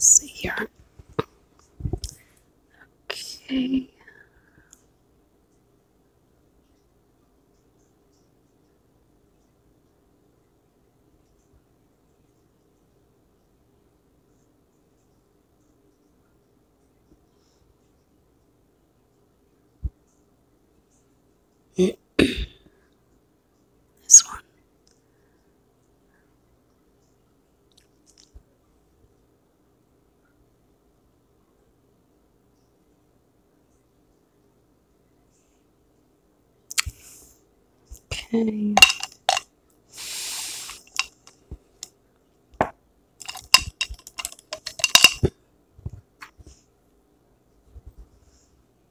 see here. Okay. This one. Okay.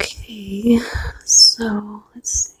Okay, so let's see.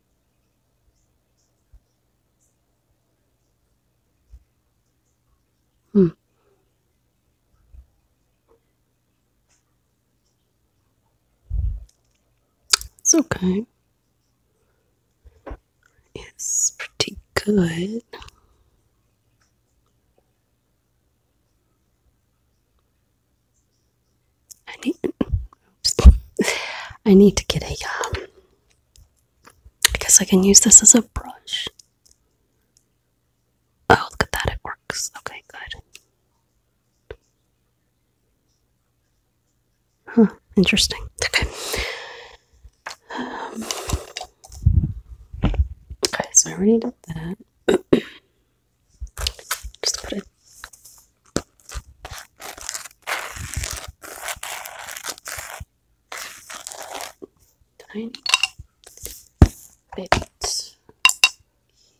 Hmm. It's okay. It's pretty good. I need. I need to get a. Um, I guess I can use this as a brush. Oh, look at that! It works. Okay, good. Huh. Interesting. Okay. Um, okay, so I already did that. Just put it tiny bit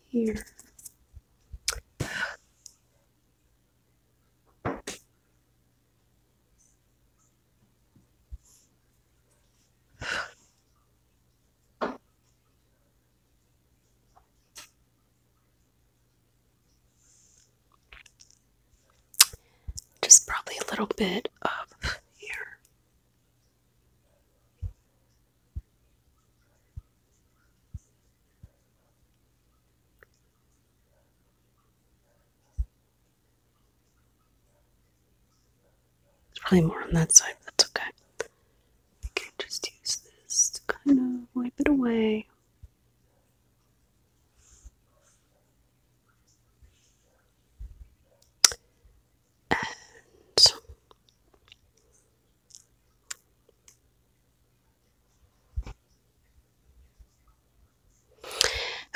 here. Just probably a little bit up here. It's probably more on that side, that's okay. I can just use this to kind of wipe it away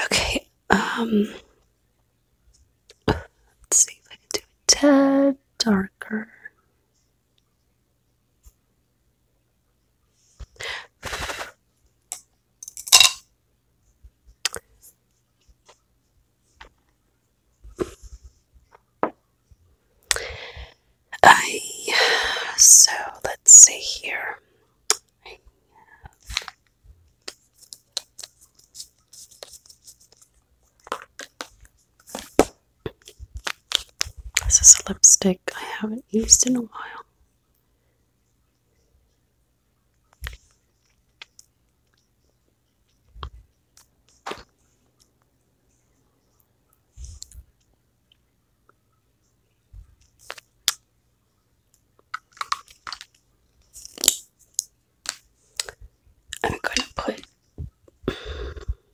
okay, um, let's see if I can do it a darker. I so let's see here. This is a lipstick I haven't used in a while. I'm going to put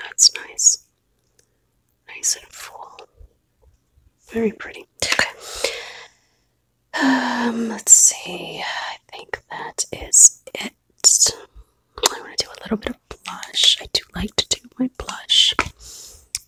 That's nice. Nice and full. Very pretty. Okay. Um, let's see. I think that is it. I want to do a little bit of blush. I do like to do my blush.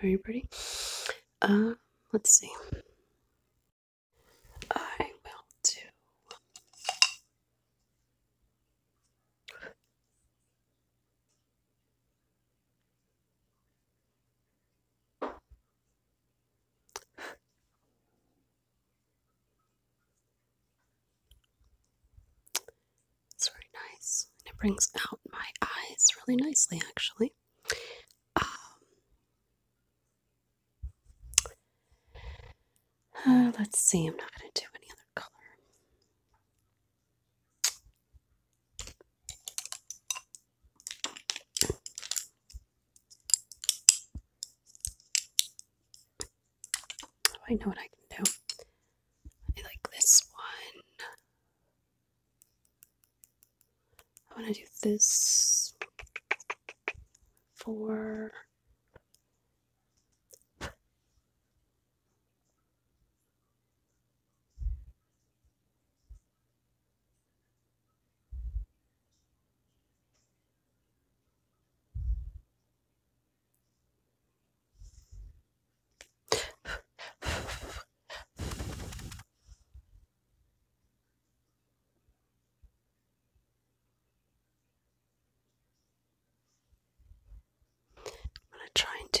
very pretty. Uh, let's see. I will do. It's very nice, and it brings out my eyes really nicely, actually. Um, uh, let's see, I'm not going to do any other color. I know what I can do. I like this one. I want to do this for. I'm going to try and do.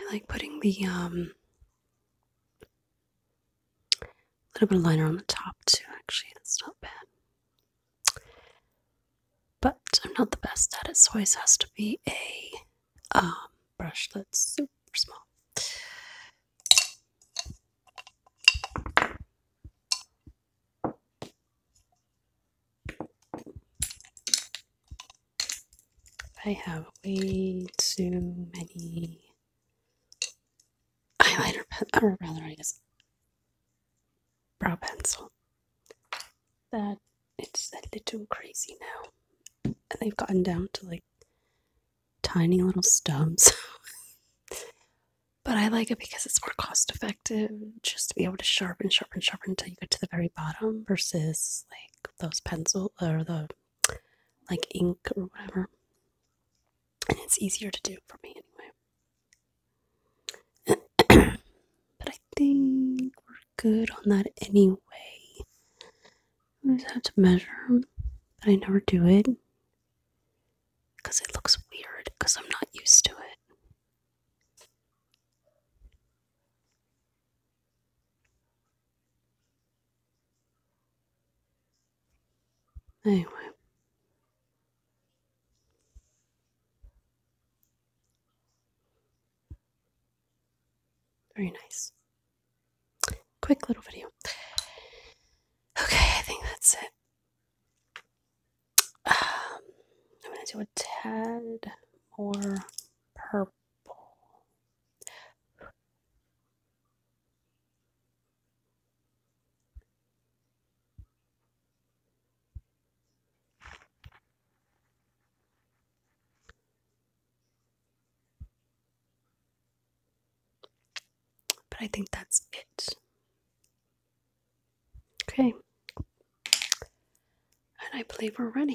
I like putting the um a little bit of liner on the top, too, actually. That's not bad. But I'm not the best at it, so always has to be a um, brush that's super small. I have way too many eyeliner pen, or rather, I guess, brow pencil. That it's a little crazy now. And they've gotten down to like tiny little stubs. but I like it because it's more cost effective just to be able to sharpen, sharpen, sharpen until you get to the very bottom versus like those pencil or the like ink or whatever and it's easier to do for me anyway. but I think we're good on that anyway. I just have to measure, but I never do it because it looks weird because I'm not used to it. Anyway. Very nice. Quick little video. Okay, I think that's it. Um, I'm going to do a tad more purple. But I think that's it. Okay. And I believe we're ready.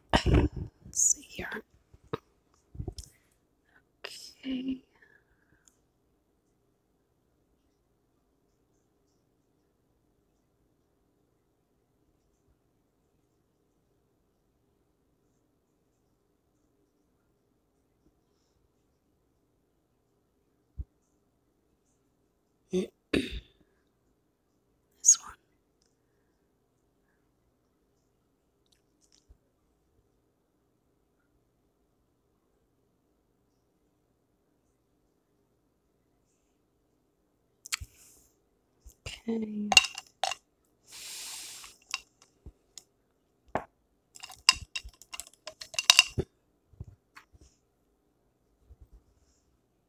Let's see here. Okay. This one. Okay.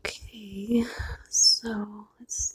Okay, so let's see.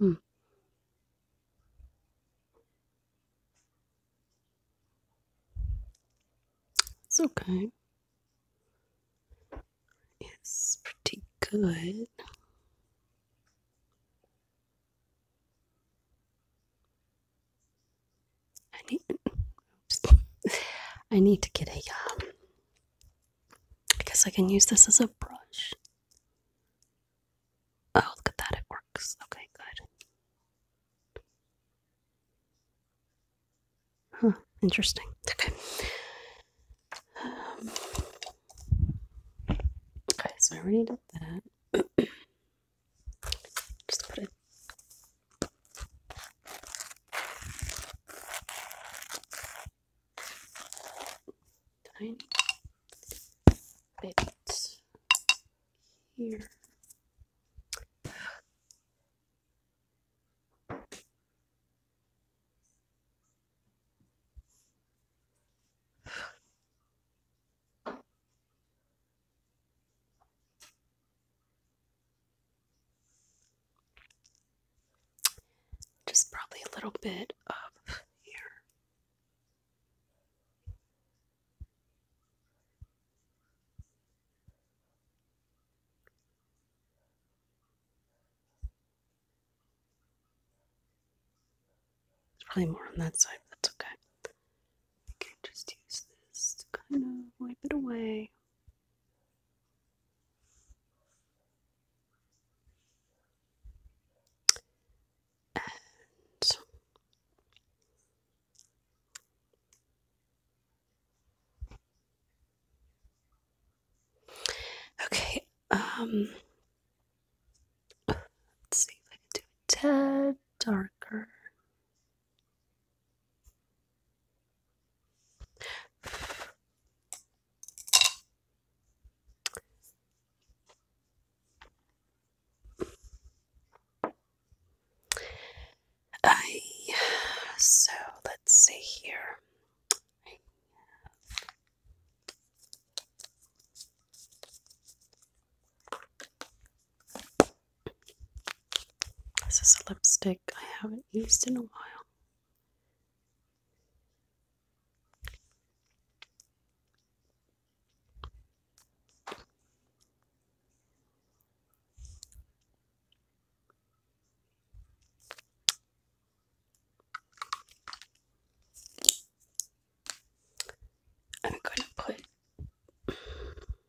Hmm. It's okay. It's pretty good. I need. I need to get a. Um, I can use this as a brush. Oh, look at that! It works. Okay, good. Huh. Interesting. Okay. Um, okay, so I already did that. Just put a tiny bit here. Just probably a little bit of here. There's probably more on that side, that's okay. I can just use this to kind of wipe it away. And okay, um, let's see if I can do a tad darker. I so let's see here. This is a lipstick I haven't used in a while. I'm going to put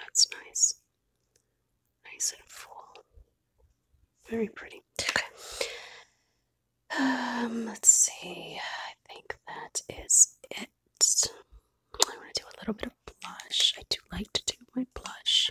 That's nice. Nice and full. Very pretty. Okay. Um, let's see. I think that is it. I want to do a little bit of blush. I do like to do my blush.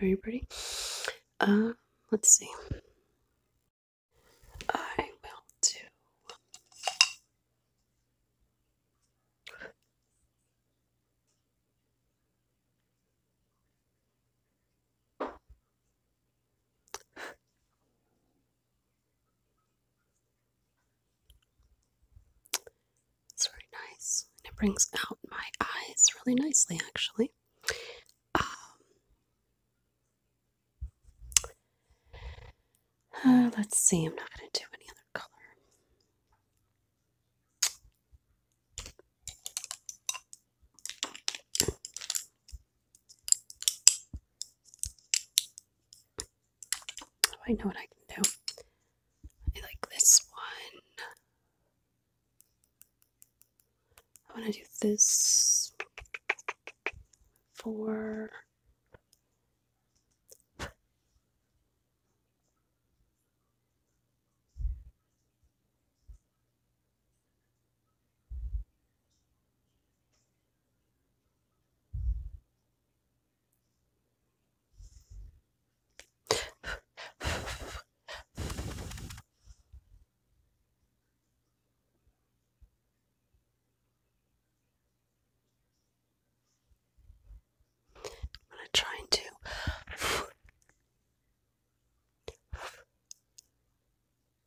are you pretty. Um, let's see. I will do. It's very nice, it brings out my eyes really nicely, actually. Um, uh, let's see, I'm not going to do any other color. Oh, I know what I can do. I like this one. I want to do this for. I'm going to try and do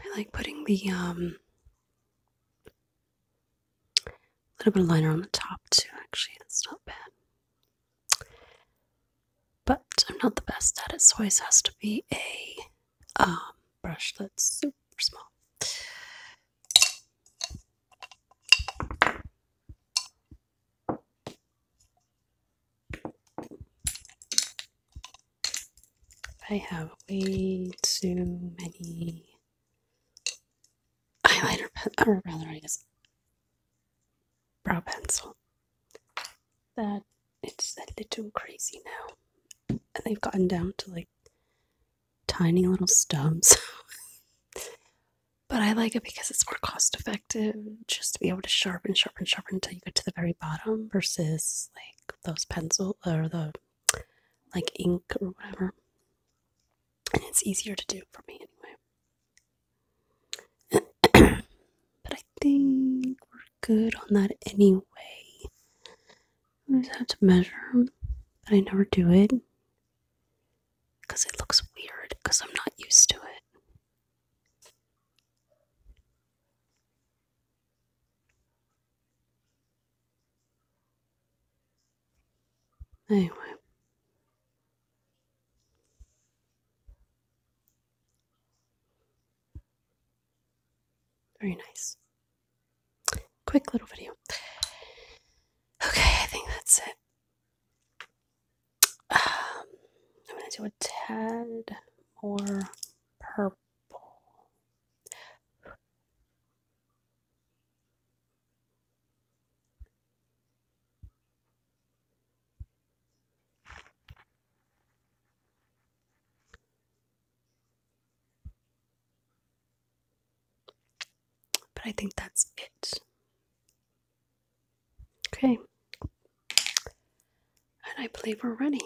I like putting the um a little bit of liner on the top, too, actually. That's not bad. But I'm not the best at it, so always has to be a um, brush that's super small. I have way too many eyeliner i or rather, I guess, brow pencil. That it's a little crazy now. And they've gotten down to like tiny little stubs. but I like it because it's more cost effective just to be able to sharpen, sharpen, sharpen until you get to the very bottom versus like those pencil or the like ink or whatever and it's easier to do for me anyway. but I think we're good on that anyway. I just have to measure, but I never do it because it looks weird because I'm not used to it. Anyway. Very nice. Quick little video. Okay, I think that's it. Um, I'm going to do a tad more purple. But I think that's it. Okay. And I believe we're ready.